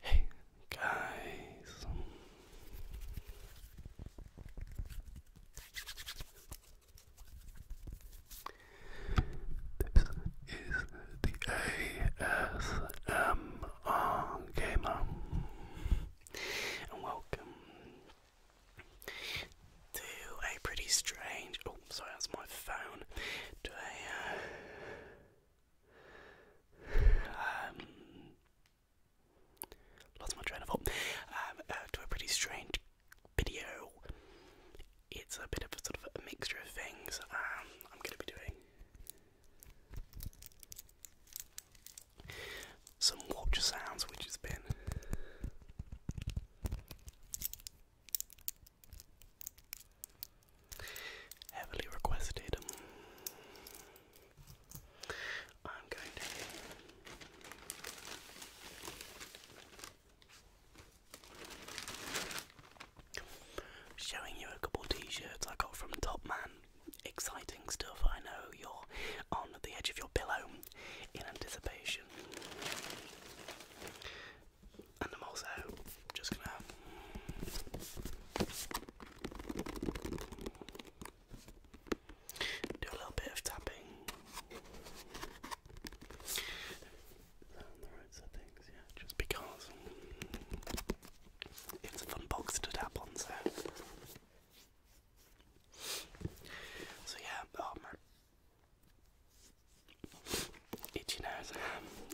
Hey guys. This is the ASMR gamer and welcome to a pretty strange. Oh, sorry, that's my phone. To a. Uh, um, lost my train um, uh, to a pretty strange video. It's a bit of a sort of a mixture of things. Um, I'm going to be doing some water sounds which has been heavily requested. Um, I'm going to. Showing you a couple t shirts I got from Top exciting stuff. I know you're on the edge of your pillow in anticipation. And I'm also just gonna. Do a little bit of tapping. just because. It's was a fun box to tap on, so. So yeah, oh itchy nose.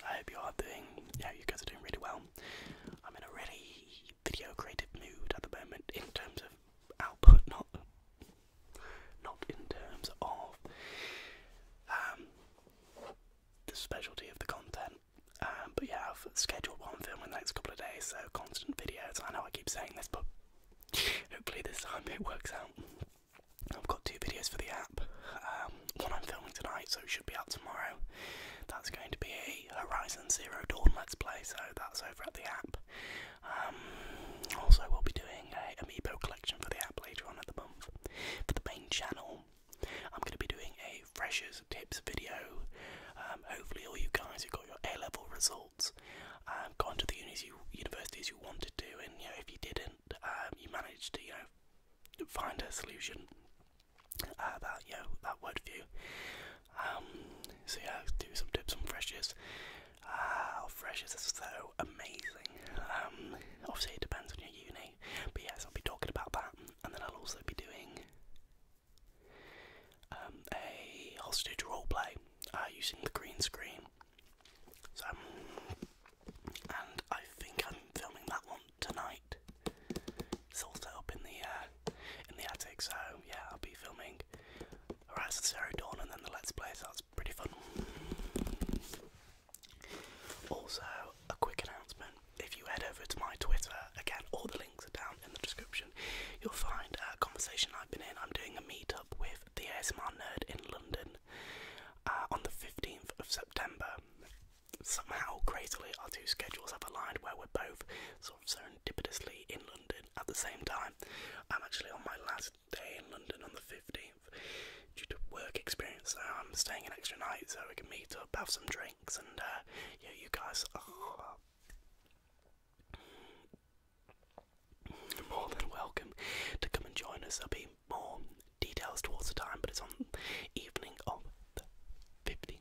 I hope you are doing, yeah, you guys are doing really well. I'm in a really video creative mood at the moment in terms of output, not not in terms of um, the specialty of the content. Um, but yeah, I've scheduled one film in the next couple of days, so constant videos. I know I keep saying this, but hopefully this time it works out. I've got two videos for the app. Um, one I'm filming tonight, so it should be out tomorrow. That's going to be Horizon Zero Dawn Let's Play, so that's over at the app. Um, also, we'll be doing a Amiibo collection for the app later on in the month. For the main channel, I'm going to be doing a freshers tips video. Um, hopefully, all you guys who got your A level results, um, gone to the universities you wanted to, and you know if you didn't, um, you managed to you know find a solution uh, that you know that worked for um, so yeah, do some tips on freshers. Ah, freshers are so amazing. obviously, it depends on your uni, but yes, I'll be talking about that, and then I'll also be doing um, a hostage roleplay uh, using the green screen. So, um, and I think I'm filming that one tonight. It's all set up in the uh, in the attic, so yeah, I'll be filming Horizon Zero Dawn and then the Let's Play. So that's pretty fun. Also, a quick announcement if you head over to my Twitter, again, all the links are down in the description, you'll find a conversation I've been in. I'm doing a meet up with the ASMR Nerd in London uh, on the 15th of September. Somehow, crazily, our two schedules have aligned where we're both sort of serendipitously in London at the same time. I'm actually on my last day in London on the 15th due to work experience, so I'm staying an extra night so we can meet up, have some drinks, and uh, yeah, you guys more than welcome to come and join us. There'll be more details towards the time, but it's on evening of the 15th.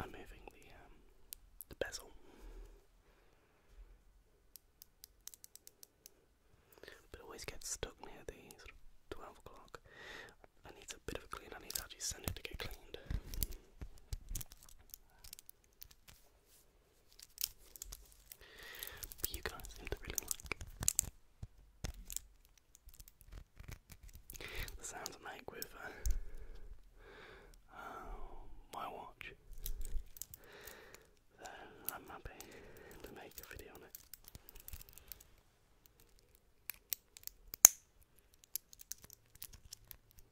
I'm moving the um, the bezel, it always gets stuck near the twelve o'clock. I need a bit of a clean. I need actually send it to get cleaned you guys seem to really like the sounds I make with uh, um, my watch. So I'm happy to make a video on it.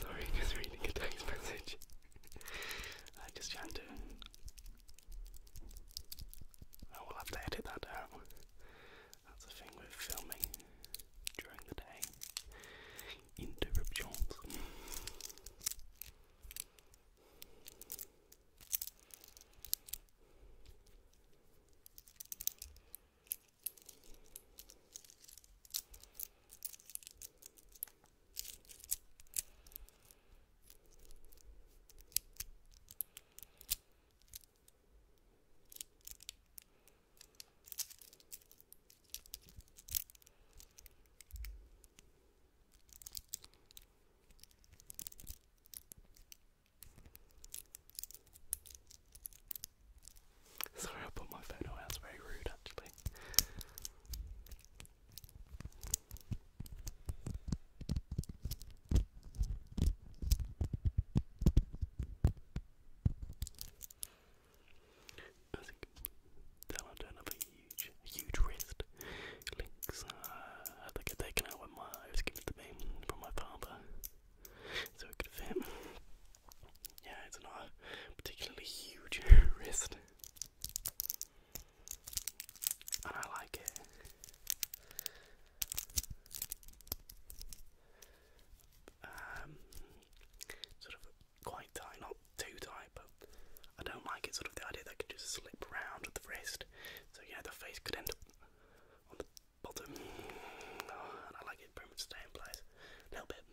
Sorry, just reading a text message. I just can't do it. I will have to edit that out. That's the thing with filming during the day. Interruptions. Sorry, I put my phone away. That's very rude, actually. I think that'll do another huge, huge wrist. Links uh, had to get my, I was given to me from my father, so it could fit. Yeah, it's not a particularly huge wrist. and I like it. Um, sort of quite tight, not too tight, but I don't like it. Sort of the idea that it could just slip round at the wrist, so yeah, the face could end up on the bottom. Oh, and I like it pretty much stay in place. A little bit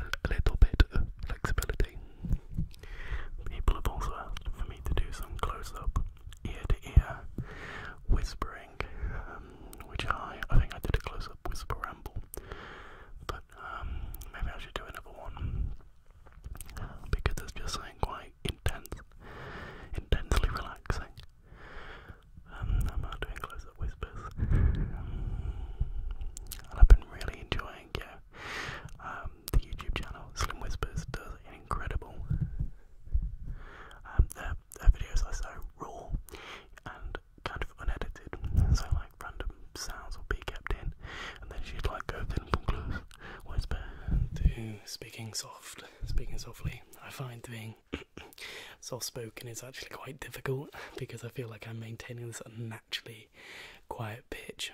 a little bit of flexibility. People have also asked for me to do some close up, ear to ear whispering, um, which I, I think I did a close up whisper ramble, but um, maybe I should do another one because there's just something quite intense, intensely relaxing. Um, I'm not doing close up whispers. and I've been really enjoying yeah, um, the YouTube channel Slim Whispers does an incredible. Um, their, videos are so raw and kind of unedited, so like random sounds will be kept in, and then she'd like go then from close whisper to speaking soft, speaking softly. I find doing soft spoken is actually quite difficult because I feel like I'm maintaining this unnaturally quiet pitch.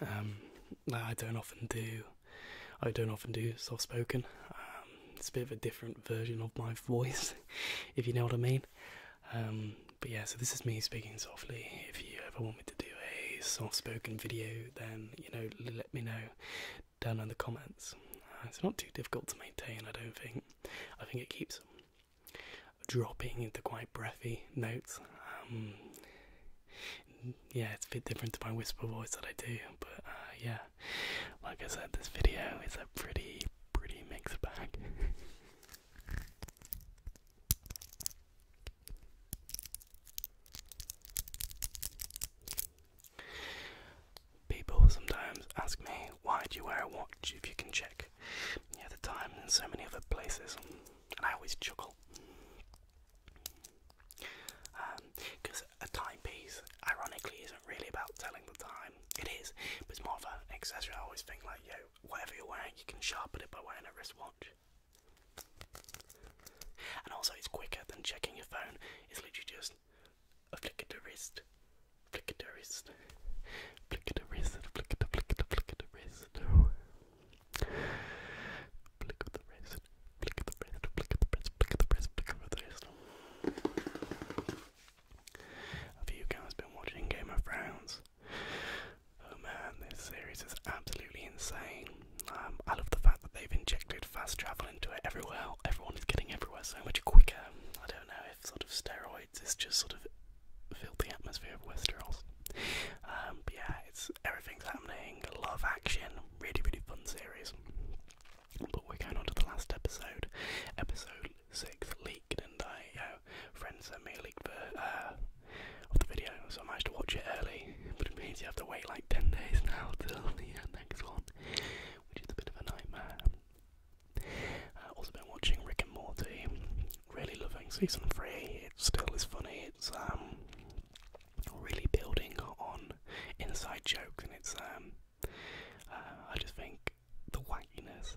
Um, I don't often do. I don't often do soft spoken. Um, it's a bit of a different version of my voice, if you know what I mean. Um, but yeah, so this is me speaking softly. If you ever want me to do a soft spoken video, then you know, let me know down in the comments. Uh, it's not too difficult to maintain, I don't think. I think it keeps dropping into quite breathy notes. Um, yeah, it's a bit different to my whisper voice that I do, but uh, yeah, like I said, this video is a pretty, pretty mixed bag. People sometimes ask me, why do you wear a watch if you can check yeah, the time and so many other places, and I always chuckle because um, a timepiece, ironically, isn't really about telling the time. It is, but it's more of an accessory. I always think like, yo, whatever you're wearing, you can sharpen it by wearing a wristwatch. And also, it's quicker than checking your phone. It's literally just a flick of the wrist, Flick the wrist. Flick the wrist. Flick the flick the flick the wrist. Flick the wrist. Flick the wrist. Flick the wrist. Flick the wrist. Flick the wrist. Have you guys been watching Game of Thrones? Oh man, this series is absolutely insane. Um, I love the fact that they've injected fast travel into it everywhere. Everyone is getting everywhere so much quicker. I don't know, sort of steroids. It's just sort of filled the atmosphere of Westeros. Um, yeah, it's everything's happening. A lot of action. Really, really fun series. But we're going on to the last episode, episode six leaked, and I uh, friends sent me a leak the, uh, of the video, so I managed to watch it early. But it means you have to wait like ten days now till the next one, which is a bit of a nightmare. I've uh, also been watching Rick and Morty, really loving season 3, it still is funny, it's um, really building on inside jokes and it's, um, uh, I just think the wackiness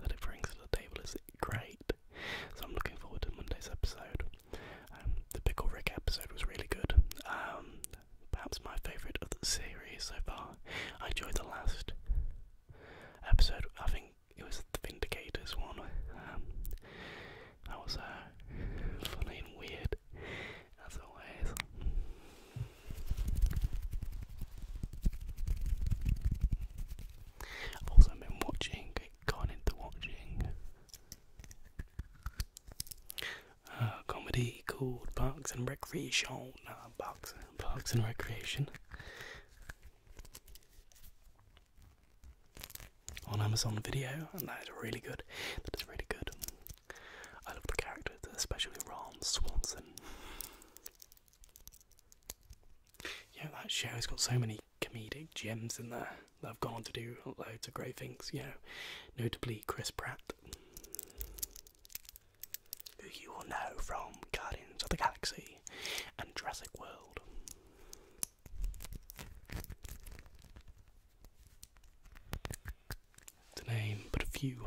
that it brings to the table is great, so I'm looking forward to Monday's episode. Um, the Pickle Rick episode was really good. Um, perhaps my favourite of the series so far. I enjoyed the last episode. I think it was the Vindicators one. Um, that was uh, funny and weird, as always. I've been watching, gone into watching uh, a comedy called Parks and Recreation. Parks, Parks and Recreation on Amazon Video, and that is really good. That is really good. I love the characters, especially Ron Swanson. Yeah, that show's got so many comedic gems in there that have gone on to do loads of great things, you know, notably Chris Pratt who you will know from Guardians of the Galaxy and Jurassic World. To name but a few.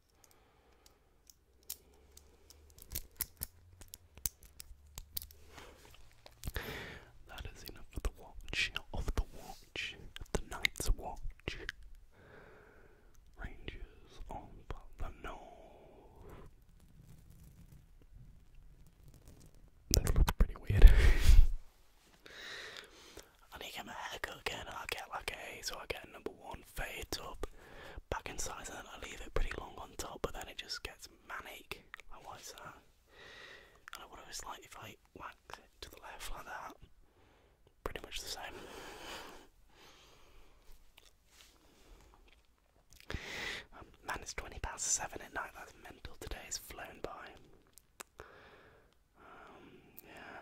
That is enough of the watch, of the watch, the night's watch. Rangers of the North. That looks pretty weird. I need to get my again. i get like a so I get number one fade up back in size, and then I leave it pretty long on top but then it just gets manic. Like why is that? I what was like if I wax it to the left like that. Pretty much the same. Um, man, it's 20 past 7 at night, that's mental. Today has flown by. Um, yeah.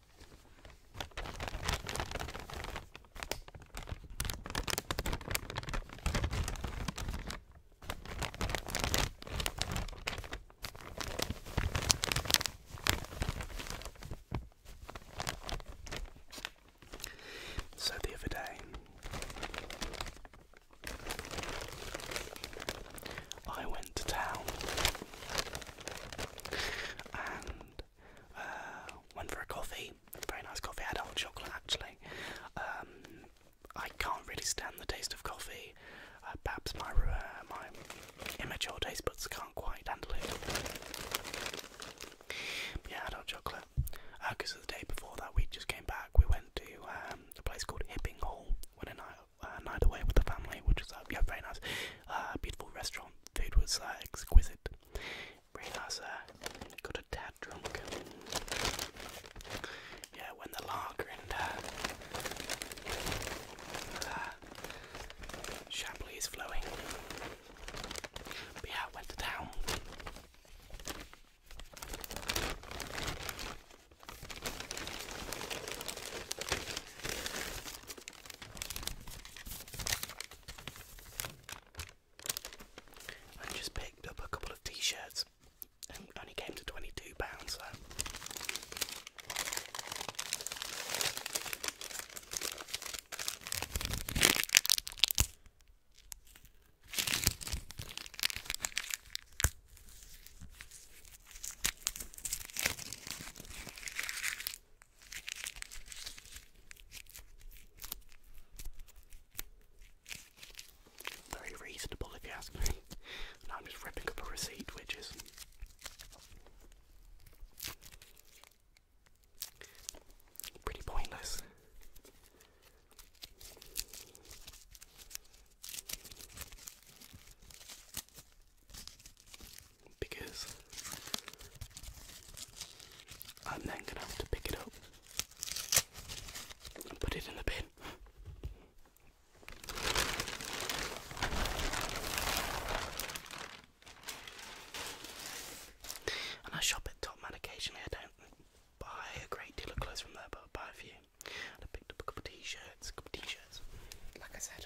So the other day, I went to town and uh, one for a coffee, very nice coffee. I had hot chocolate actually. Um, I can't really stand the taste of coffee. Uh, perhaps my uh, my immature taste buds can't quite handle it. yeah, I had hot chocolate. Because uh, the day before that, we just came back. We went to um, a place called Hipping Hall. Went a night, uh, night with the family, which was uh, yeah, very nice. Uh, beautiful restaurant. Food was uh, exquisite. Realise I got a tad drunk. Yeah, when the lager and uh, uh, is flowing. yeah, I went town. I just picked up a couple of t-shirts and only came to 22 pounds so very reasonable, if you ask me. I'm just ripping up a receipt, which is. Pretty pointless because I'm then gonna have to pick it up and put it in the bin. And I shop at Top Man occasionally. I don't buy a great deal of clothes from there, but I buy a few. And I picked up a couple of t-shirts, a couple of t-shirts, like I said.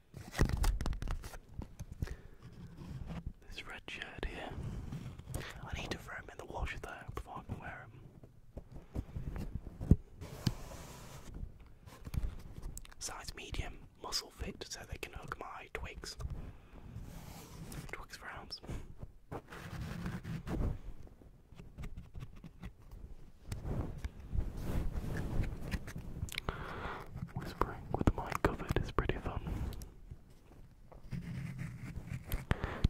This red shirt here. I need to throw him in the washer though before I can wear him. Size medium, muscle fit so they can hook my twigs. Twigs for arms. Whispering with the covered is pretty fun.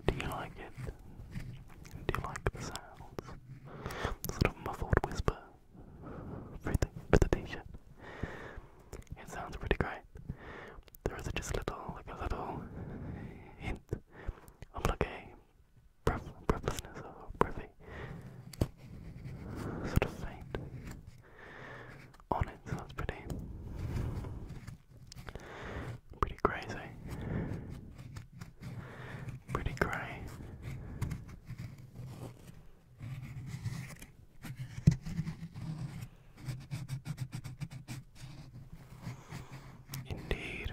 Do you like it? Do you like the sounds? The muffled whisper through the, It sounds pretty great. There is just a little, like a little hint of like a breath, breathlessness sort of faint on it, so pretty pretty crazy. Pretty grey. Indeed.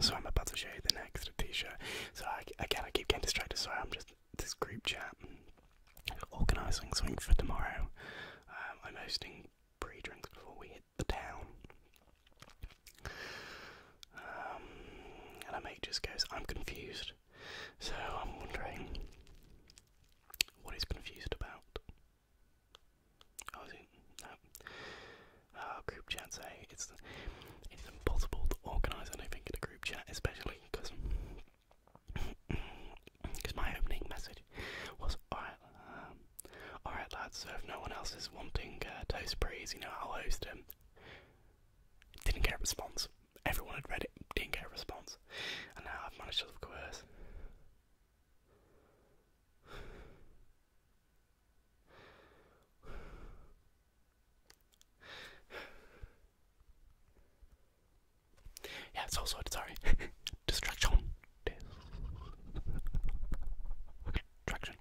So I'm about to show you the next t-shirt. So I, again, I keep getting distracted. So I'm just this group chat, organising things for tomorrow. Um, I'm hosting pre-drinks before we hit the town. Um, and I mate just goes, I'm confused. So I'm wondering what he's confused about. Oh, is uh, group chats. Eh? It's it's impossible to organise. anything in a group chat, especially because because my opening message was alright, um, alright lads. So if no one else is wanting uh, toast breeze, you know I'll host him. Didn't get a response. Everyone had read it, didn't get a response, and now I've managed to coerce. Yeah, it's also sorry. Distraction. Distraction.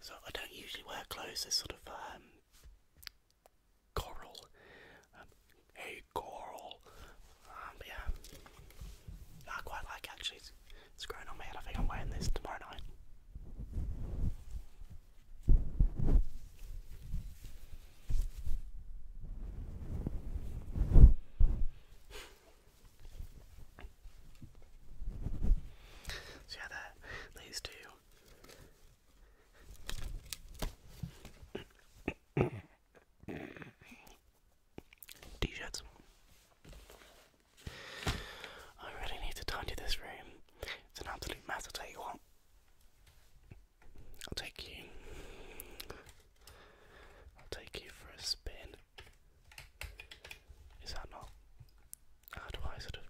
So I don't usually wear clothes. This sort of um, Coral. Um, Coral. Um, yeah, I quite like actually. It's, growing on me, I think I'm wearing this tomorrow night. So yeah, there, these two t I really need to tidy this room. It's an absolute mess, I'll I'll take you. I'll take you for a spin. Is that not? How do I sort of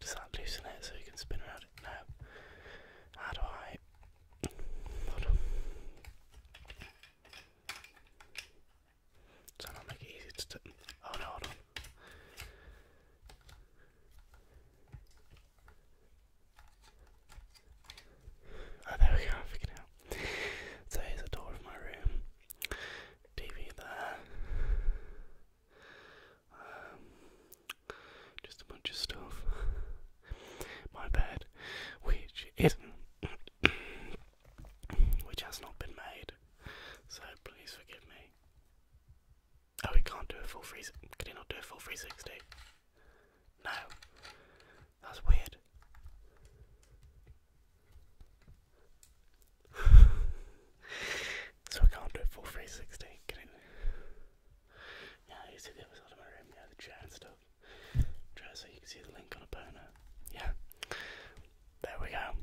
does that loosen it so you can spin around it? No. How do I? Hold on. So I'll make it easy to. Oh no, hold on. Oh, there we go, figured it out. So here's the door of my room. TV there. Um, just a bunch of stuff. My bed, which is which has not been made. So please forgive me. Oh, we can't do a full freeze. Could he not do a full 360? No, that's weird. so I can't do a full 360, can it? Yeah, you see the other side my room, yeah, the chair and stuff. Try so you can see the link on a burner. Yeah. There we go.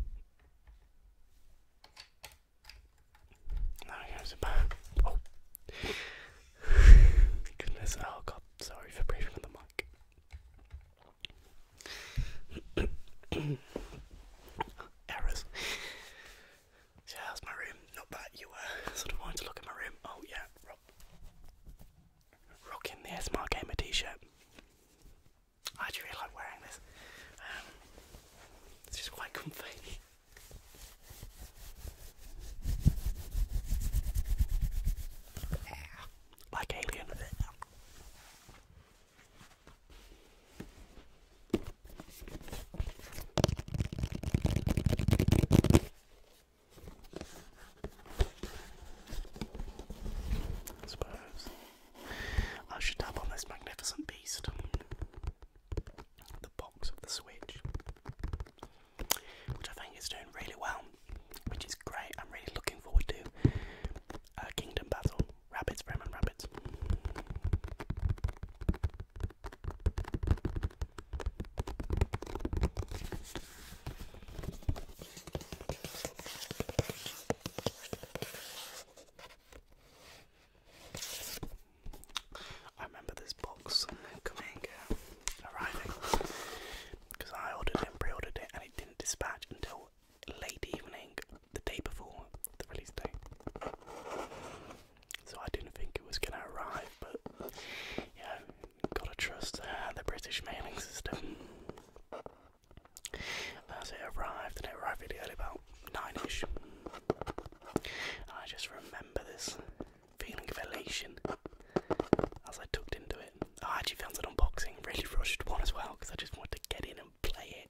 Now it goes back. Oh. Goodness, oh god, sorry for breathing on the mic. Errors. So how's my room? Not bad. You were uh, sort of wanted to look at my room. Oh yeah, Rob. Rocking the SMR Gamer t-shirt. I actually really like wearing this. Um, it's just quite comfy. like alien. I suppose I should tap on this magnificent beast, the box of the Switch, which I think is doing really well, which is great. I'm really looking forward to uh, Kingdom Battle rabbits, Fremen rabbits. I remember this box coming, uh, arriving, because I ordered and pre-ordered it, and it didn't dispatch until late evening the day before the release day, So I didn't think it was gonna arrive, but yeah, gotta trust uh, the British mailing system. As it arrived, and it arrived really early, about nine-ish. I just remember this feeling of elation as I tucked into it. I actually found an unboxing, really rushed one as well, because I just wanted to get in and play it.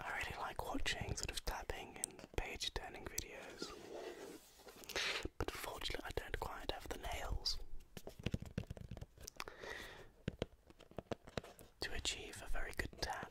I really like watching sort of tapping and page turning videos, but unfortunately, I don't quite have the nails to achieve a very good tap.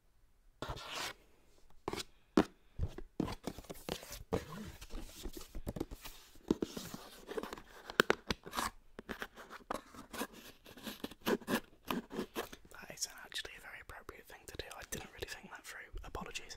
That isn't actually a very appropriate thing to do. I didn't really think that through. Apologies.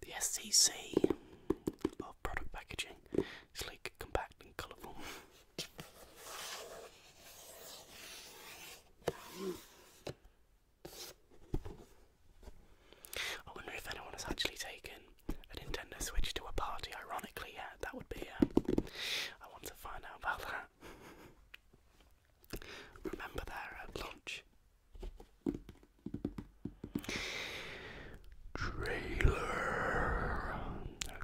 The SCC of product packaging is sleek, compact, and colourful. I wonder if anyone has actually taken a Nintendo Switch to a party, ironically, yeah, that would be, um, I want to find out about that. Remember their uh, launch? Trailer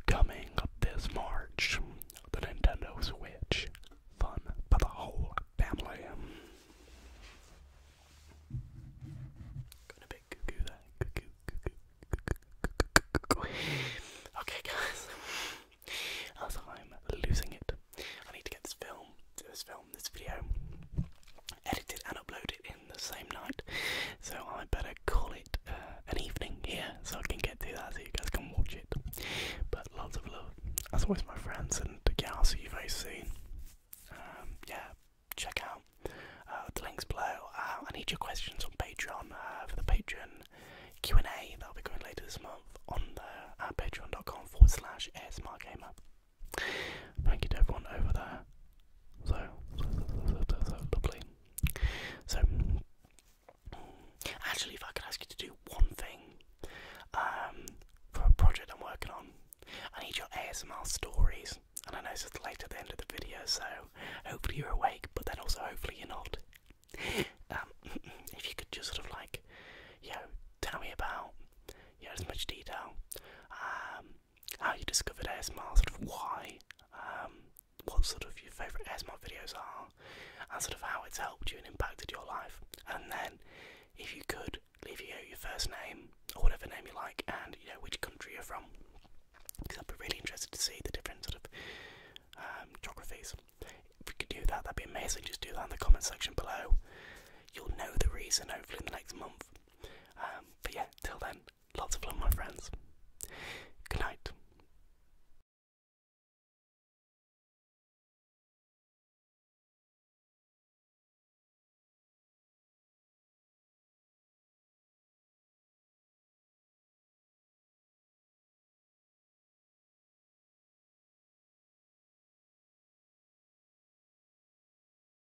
coming up this March. The Nintendo Switch. Fun for the whole family. Okay, guys. As I'm losing it, I need to get this film, this film, this video edited and uploaded in the same night. So I better call it uh, an evening here so I can get to that so you guys can watch it. But lots of love, as always, my friends, and yeah, I'll see you very soon. Um, yeah, check out uh, the links below. Uh, I need your questions on Patreon for the Patreon Q and A that'll be going later this month on the uh, patreon.com forward slash ASMR Thank you to everyone over there. So, lovely. So, actually, if I could ask you to do one thing for a project I'm working on, I need your ASMR stories. And I know it's late at the end of the video, so hopefully you're awake, but then also hopefully you're not. if you could just sort of like, you know, tell me about, you know, as much detail how ah, you discovered ASMR, sort of why, um, what sort of your favourite ASMR videos are, and sort of how it's helped you and impacted your life. And then, if you could, leave your, your first name or whatever name you like, and you know which country you're from, because I'd be really interested to see the different sort of um, geographies. If you could do that, that'd be amazing. Just do that in the comment section below. You'll know the reason hopefully in the next month um, but yeah, till then, lots of love, my friends. Good night.